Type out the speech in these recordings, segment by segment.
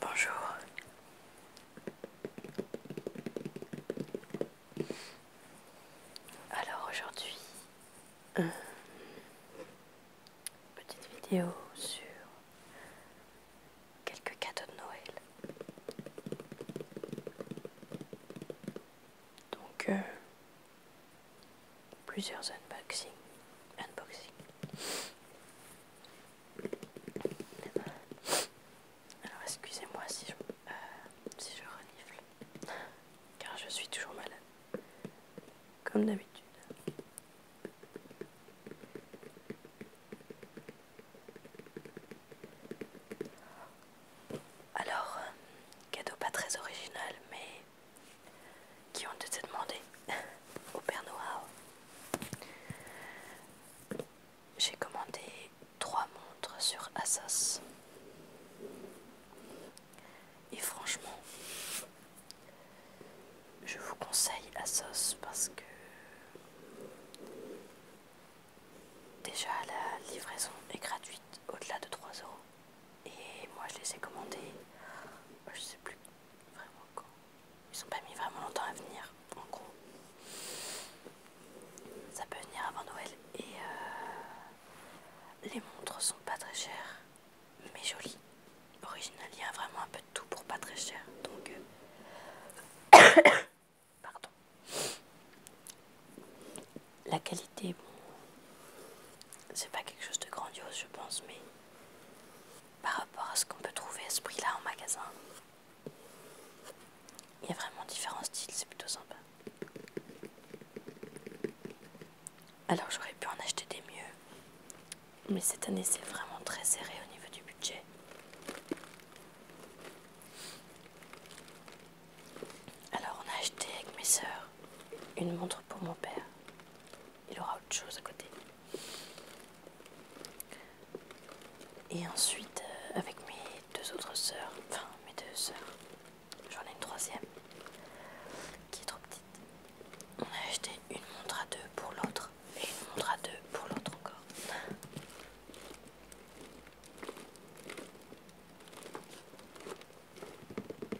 Bonjour. Alors aujourd'hui, euh, petite vidéo sur quelques cadeaux de Noël. Donc euh, Plusieurs unboxings. Unboxing. Alors excusez-moi si je, euh, si je renifle, car je suis toujours malade, comme d'habitude. Alors, euh, cadeau pas très original, mais qui ont été demandés au Père Noah J'ai commandé trois montres sur Asos Et franchement, je vous conseille Asos parce que déjà la livraison est gratuite au-delà de 3 euros. Et moi je les ai commandés, je sais plus vraiment quand. Ils sont pas mis vraiment longtemps à venir, en gros. Ça peut venir avant Noël. Et euh, les montres sont pas très chères, mais jolies. Original, il y a vraiment un peu de tout pour pas très cher. Donc. Euh, pardon. La qualité, bon. C'est pas quelque chose de grandiose, je pense, mais par rapport à ce qu'on peut trouver à ce prix-là en magasin. Il y a vraiment différents styles, c'est plutôt sympa. Alors j'aurais pu en acheter des mieux, mais cette année c'est vraiment très serré au niveau du budget. Alors on a acheté avec mes sœurs une montre pour mon père il aura autre chose à côté. Et ensuite, euh, avec mes deux autres sœurs, enfin mes deux sœurs, j'en ai une troisième qui est trop petite. On a acheté une montre à deux pour l'autre et une montre à deux pour l'autre encore.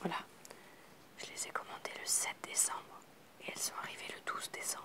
Voilà, je les ai commandées le 7 décembre et elles sont arrivées le 12 décembre.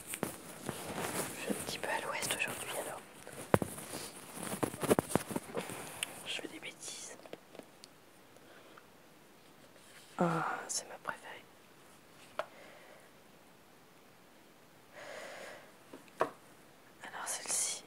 Je suis un petit peu à l'ouest aujourd'hui alors. Je fais des bêtises. Ah, c'est ma préférée. Alors celle-ci.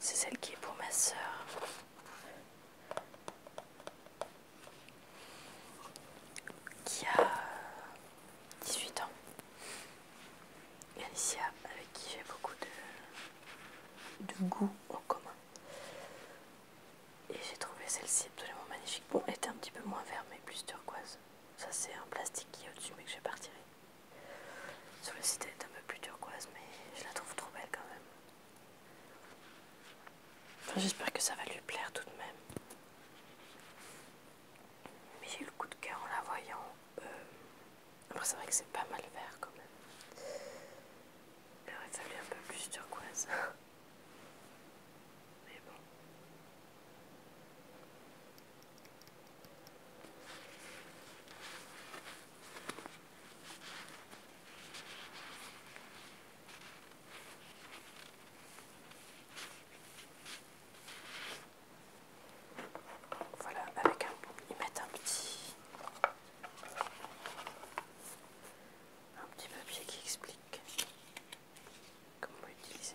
C'est celle qui est pour ma soeur qui a 18 ans. Alicia, avec qui j'ai beaucoup de, de goût en commun. Et j'ai trouvé celle-ci absolument magnifique. Bon, elle était un petit peu moins verte mais plus turquoise. Ça, c'est un plastique qui est au-dessus, mais que je vais pas Sur le site, elle est un peu plus turquoise, mais je la trouve trop belle quand même. J'espère que ça va lui plaire tout de même. Mais j'ai eu le coup de cœur en la voyant. Euh, après, c'est vrai que c'est pas mal vert quand même. Il aurait fallu un peu plus turquoise. Mais bon. Voilà, avec un, ils mettent un petit, un petit papier qui explique comment l'utiliser.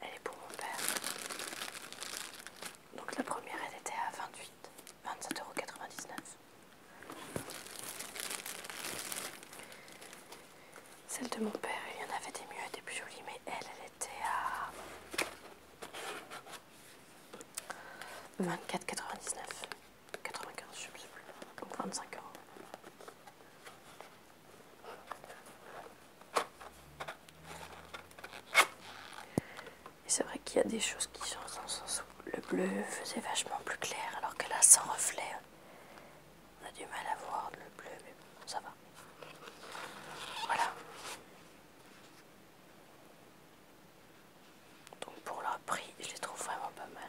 Elle est pour mon père. Donc la première, elle était à 28, 27,99€. Celle de mon père, il y en avait des mieux et des plus jolies, mais elle, elle était à 24,99€, 95, je ne sais plus, donc 25 euros. Et c'est vrai qu'il y a des choses qui sont en sens où le bleu faisait vachement plus clair, alors que là, sans reflet, on a du mal à voir le bleu, mais bon, ça va. Voilà. Donc pour leur prix, je les trouve vraiment pas mal.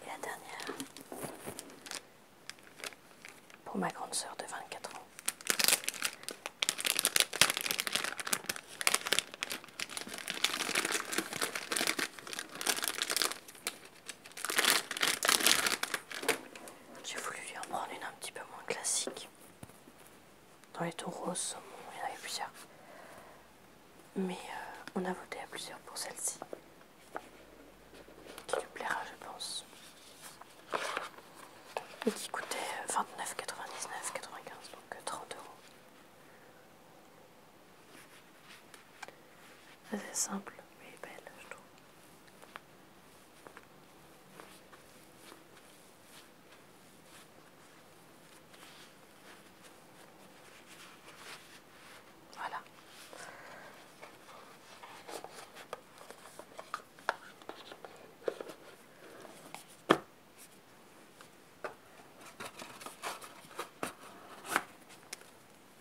Et la dernière pour ma grande sœur de 24 ans. J'ai voulu lui en prendre une un petit peu moins classique. Dans les taureaux, saumon, il y en avait plusieurs. Mais euh, on a voté à plusieurs pour celle-ci. Qui lui plaira, je pense. Et qui coûtait 29,99, euh, donc 30 euh, euros. C'est simple, mais belle, je trouve. Voilà.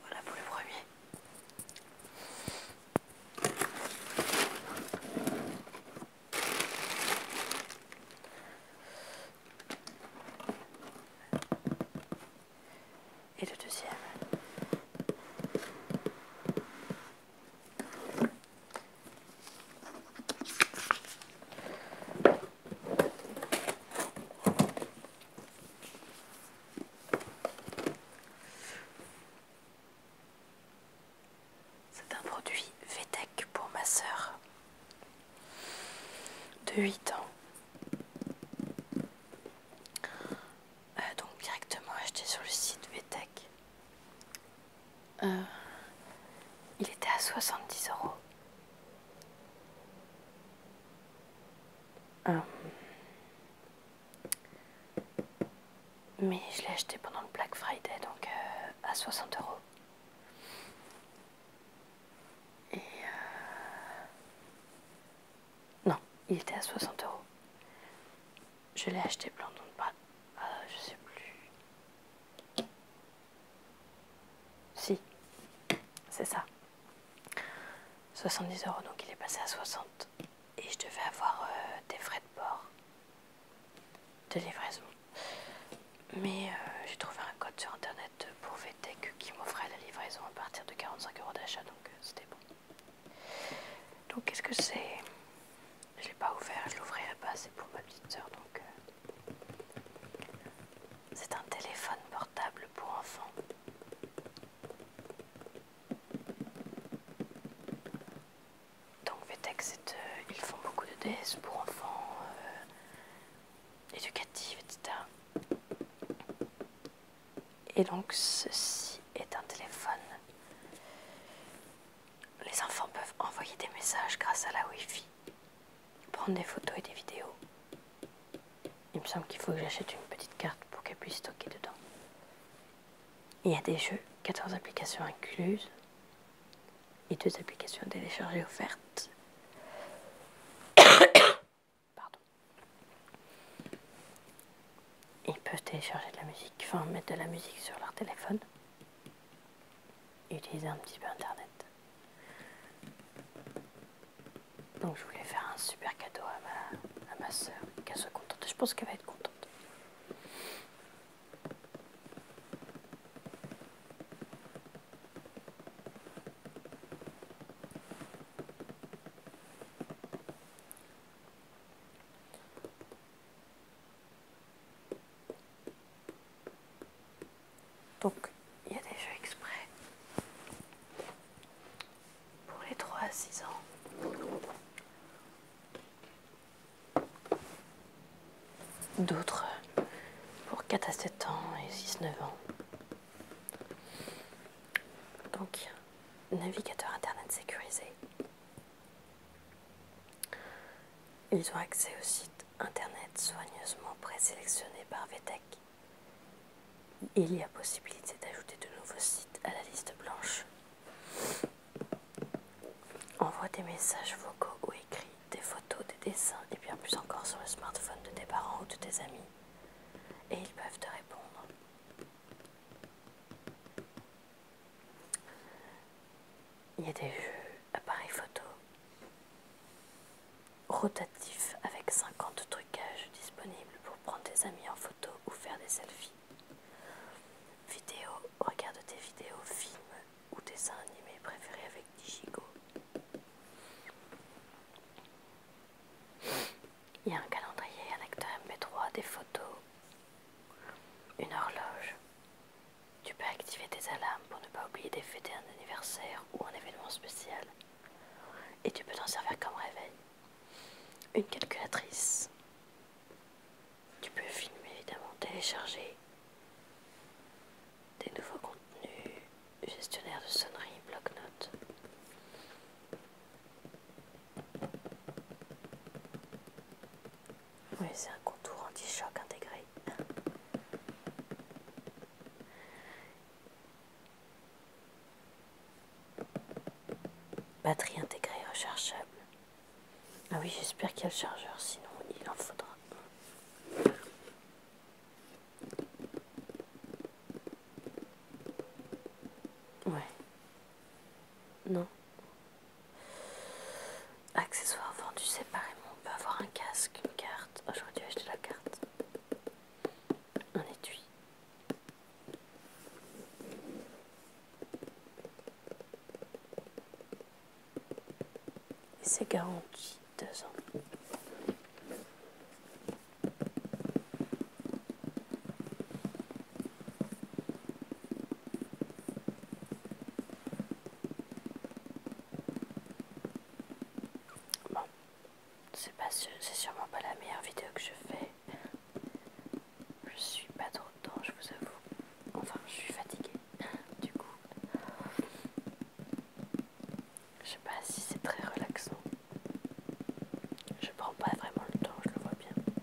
Voilà pour le premier. Et le deuxième. C'est un produit VTEC pour ma sœur de 8 ans. Euh, donc directement acheté sur le site VTEC. Euh, il était à 70 euros. Euh, mais je l'ai acheté pendant le Black Friday, donc euh, à 60 euros. Et. non, il était à 60 euros. Je l'ai acheté pendant... de pas. je sais plus. Si, c'est ça. 70 euros, donc il est passé à 60. Et je devais avoir euh, des frais de port de livraison. Mais euh, j'ai trouvé un code sur internet pour VTEC qui m'offrait la livraison à partir de 45 euros d'achat, donc euh, c'était bon. Donc qu'est-ce que c'est je l'ai pas ouvert, je l'ouvrirai pas, c'est pour ma petite sœur. donc. Euh, c'est un téléphone portable pour enfants. Donc Vetex, euh, ils font beaucoup de DS pour enfants, euh, éducatifs, etc. Et donc ceci est un téléphone les enfants peuvent envoyer des messages grâce à la Wi-Fi, prendre des photos et des vidéos. Il me semble qu'il faut que j'achète une petite carte pour qu'elle puisse stocker dedans. Il y a des jeux, 14 applications incluses et deux applications téléchargées offertes. Pardon. Ils peuvent télécharger de la musique, enfin mettre de la musique sur leur téléphone utiliser un petit peu Internet. Donc je voulais faire un super cadeau à ma, à ma soeur, qu'elle soit contente. Je pense qu'elle va être contente. Donc, il y a des jeux exprès pour les 3 à 6 ans. D'autres pour 4 à 7 ans et 6-9 ans. Donc, navigateur Internet sécurisé, ils ont accès au site internet soigneusement présélectionné par VTEC. Il y a possibilité d'ajouter de nouveaux sites à la liste blanche. Envoie des messages vocaux ou écrits, des photos, des dessins et bien plus encore sur le smartphone de tes parents ou de tes amis. Et ils peuvent te répondre. Il y a des appareils photo rotatifs avec 50 trucages disponibles pour prendre tes amis en photo ou faire des selfies. Vidéo, regarde tes vidéos, films ou dessins animés préférés avec Digigo. Il y a un calendrier, un acteur MP3, des photos, une horloge, tu peux activer tes alarmes pour ne pas oublier des fêtes, un anniversaire ou un événement spécial. Et tu peux t'en servir comme réveil. Une calculatrice. Tu peux filmer, évidemment, télécharger des nouveaux contenus, gestionnaire de sonneries, bloc-notes. Oui, c'est un contour anti-choc intégré. Batterie intégrée rechargeable. Ah oui, j'espère qu'il y a le chargeur, sinon il en faudra. Ouais. Non. Accessoires vendus séparément. On peut avoir un casque, une carte. aujourd'hui J'aurais dû acheter la carte. Un étui. Et c'est garanti deux ans. Bon, c'est pas c'est sûrement pas la meilleure vidéo que je fais. Je suis pas trop temps, je vous avoue. Enfin, je suis fatiguée, du coup. Je sais pas si c'est très relaxant. Je prends pas vraiment le temps, je le vois bien.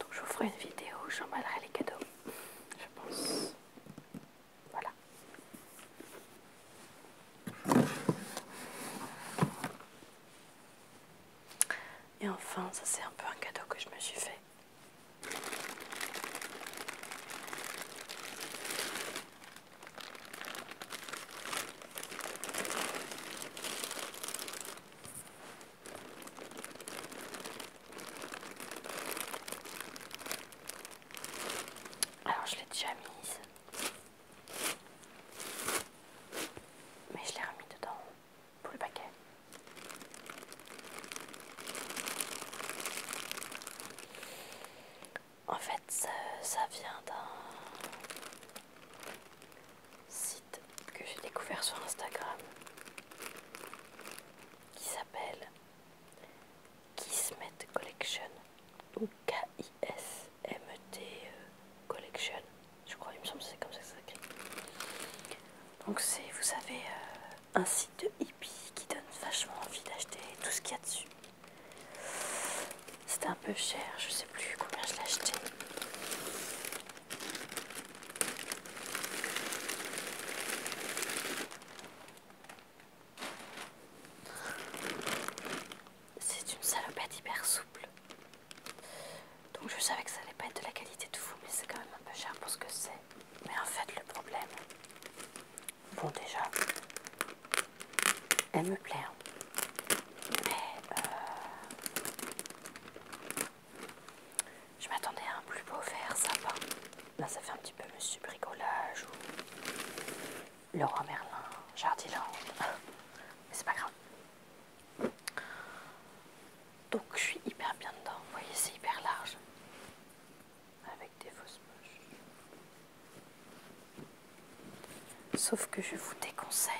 Donc je vous ferai une vidéo où j'emballerai les cadeaux, je pense. Voilà. Et enfin, ça c'est un peu un cadeau que je me suis fait. Alors je l'ai déjà mise, mais je l'ai remis dedans pour le paquet. En fait, ça, ça vient d'un que j'ai découvert sur Instagram qui s'appelle Kismet Collection ou K-I-S-M-E-T euh, Collection. Je crois, il me semble que c'est comme ça que ça s'écrit. Donc, c'est, vous savez, euh, un site de hippie qui donne vachement envie d'acheter tout ce qu'il y a dessus. C'était un peu cher, je sais plus combien je l'ai acheté. C'est une salopette hyper souple. Donc je savais que ça allait pas être de la qualité de fou, mais c'est quand même un peu cher pour ce que c'est. Mais en fait le problème, bon déjà, elle me plaît. Hein mais euh, je m'attendais à un plus beau vert sapin. Là, ça fait un petit peu Monsieur Bricolage ou Laurent Merlin, Jardiland, mais c'est pas grave. Donc, je suis hyper bien dedans. Vous voyez, c'est hyper large avec des fausses poches. Sauf que je vous déconseille.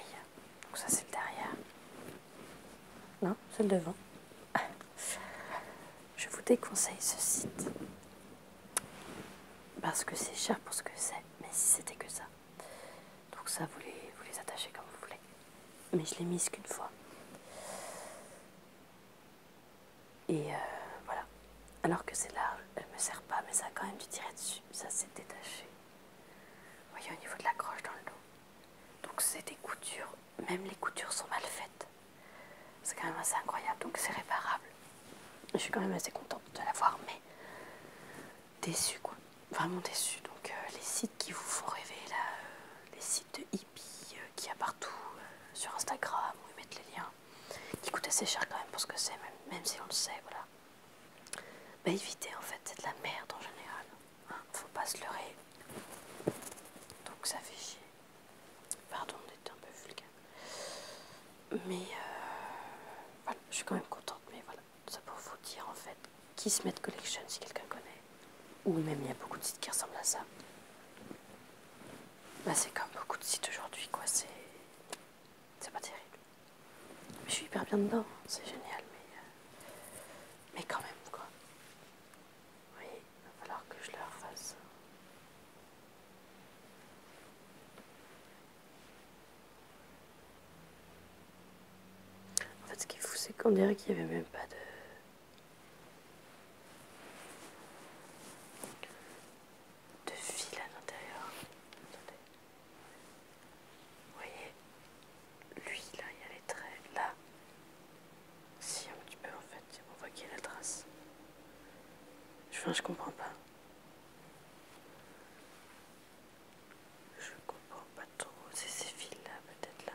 Donc ça c'est le derrière. Non, c'est le devant. Je vous déconseille ce site. Parce que c'est cher pour ce que c'est. Mais si c'était que ça. Donc ça, vous les, attachez comme vous voulez. Mais je l'ai mise qu'une fois. Et euh, voilà. Alors que c'est là, elle me sert pas, mais ça quand même du tirer dessus. Ça s'est détaché. Vous voyez au niveau de la croche dans le dos. Donc c'est des coutures, même les coutures sont mal faites. C'est quand même assez incroyable, donc c'est réparable. Je suis quand même assez contente de l'avoir, mais déçue quoi. Vraiment déçue. Donc euh, les sites qui vous font rêver là, euh, les sites de hippie euh, qui qu'il y a partout sur Instagram, où ils mettent les liens, qui coûtent assez cher quand même pour ce que c'est, même si on le sait, voilà bah, éviter en fait, c'est de la merde en général. Hein, faut pas se leurrer. Donc ça fait chier. Pardon d'être un peu vulgaire. Mais euh, voilà, je suis quand même contente. Mais voilà, ça pour vous dire en fait qui se met de collection si quelqu'un connaît. Ou même il y a beaucoup de sites qui ressemblent à ça. Bah, c'est comme beaucoup de sites aujourd'hui quoi. C'est c'est pas terrible. Mais je suis hyper bien dedans, hein. c'est génial, mais, euh, mais quand même quoi. Oui, il va falloir que je le refasse. En fait, ce qui est fou, c'est qu'on dirait qu'il n'y avait même pas de. de fil à l'intérieur. Attendez. Vous voyez, lui là, il y a les traits, là, si un petit peu en fait, on voit qu'il y a la trace. Enfin, je comprends pas. Je comprends pas trop, c'est ces fils là, peut-être là.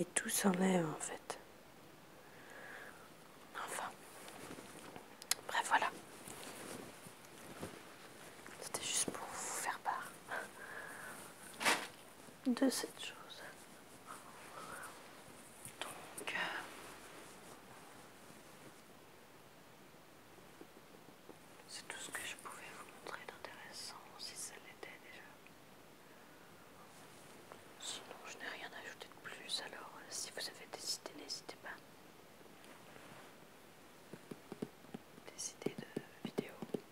Et tout s'enlève en fait. Enfin. Bref, voilà. C'était juste pour vous faire part de cette chose. Donc, euh, c'est tout ce que je pouvais vous montrer d'intéressant, si ça l'était déjà. Sinon, je n'ai rien à ajouter de plus, alors euh, si vous avez des n'hésitez pas des idées de vidéos.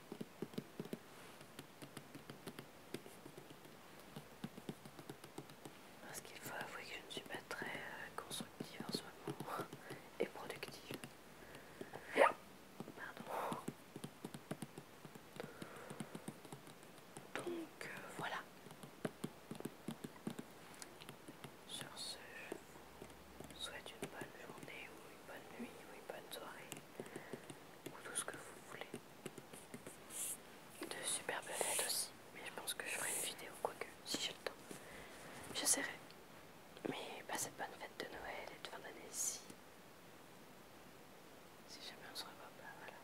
Parce qu'il faut avouer que je ne suis pas très euh, constructive en ce moment et productive. Pardon. Donc euh, voilà. Sur ce, je souhaite une bonne journée ou une bonne nuit ou une bonne soirée ou tout ce que vous voulez. De superbes fêtes aussi, mais je pense que je ferai une vidéo quoique, si j'ai le temps. J'essaierai. Mais passez bah, cette bonne fête de Noël et de fin d'année si... Si jamais on se revoit pas, voilà.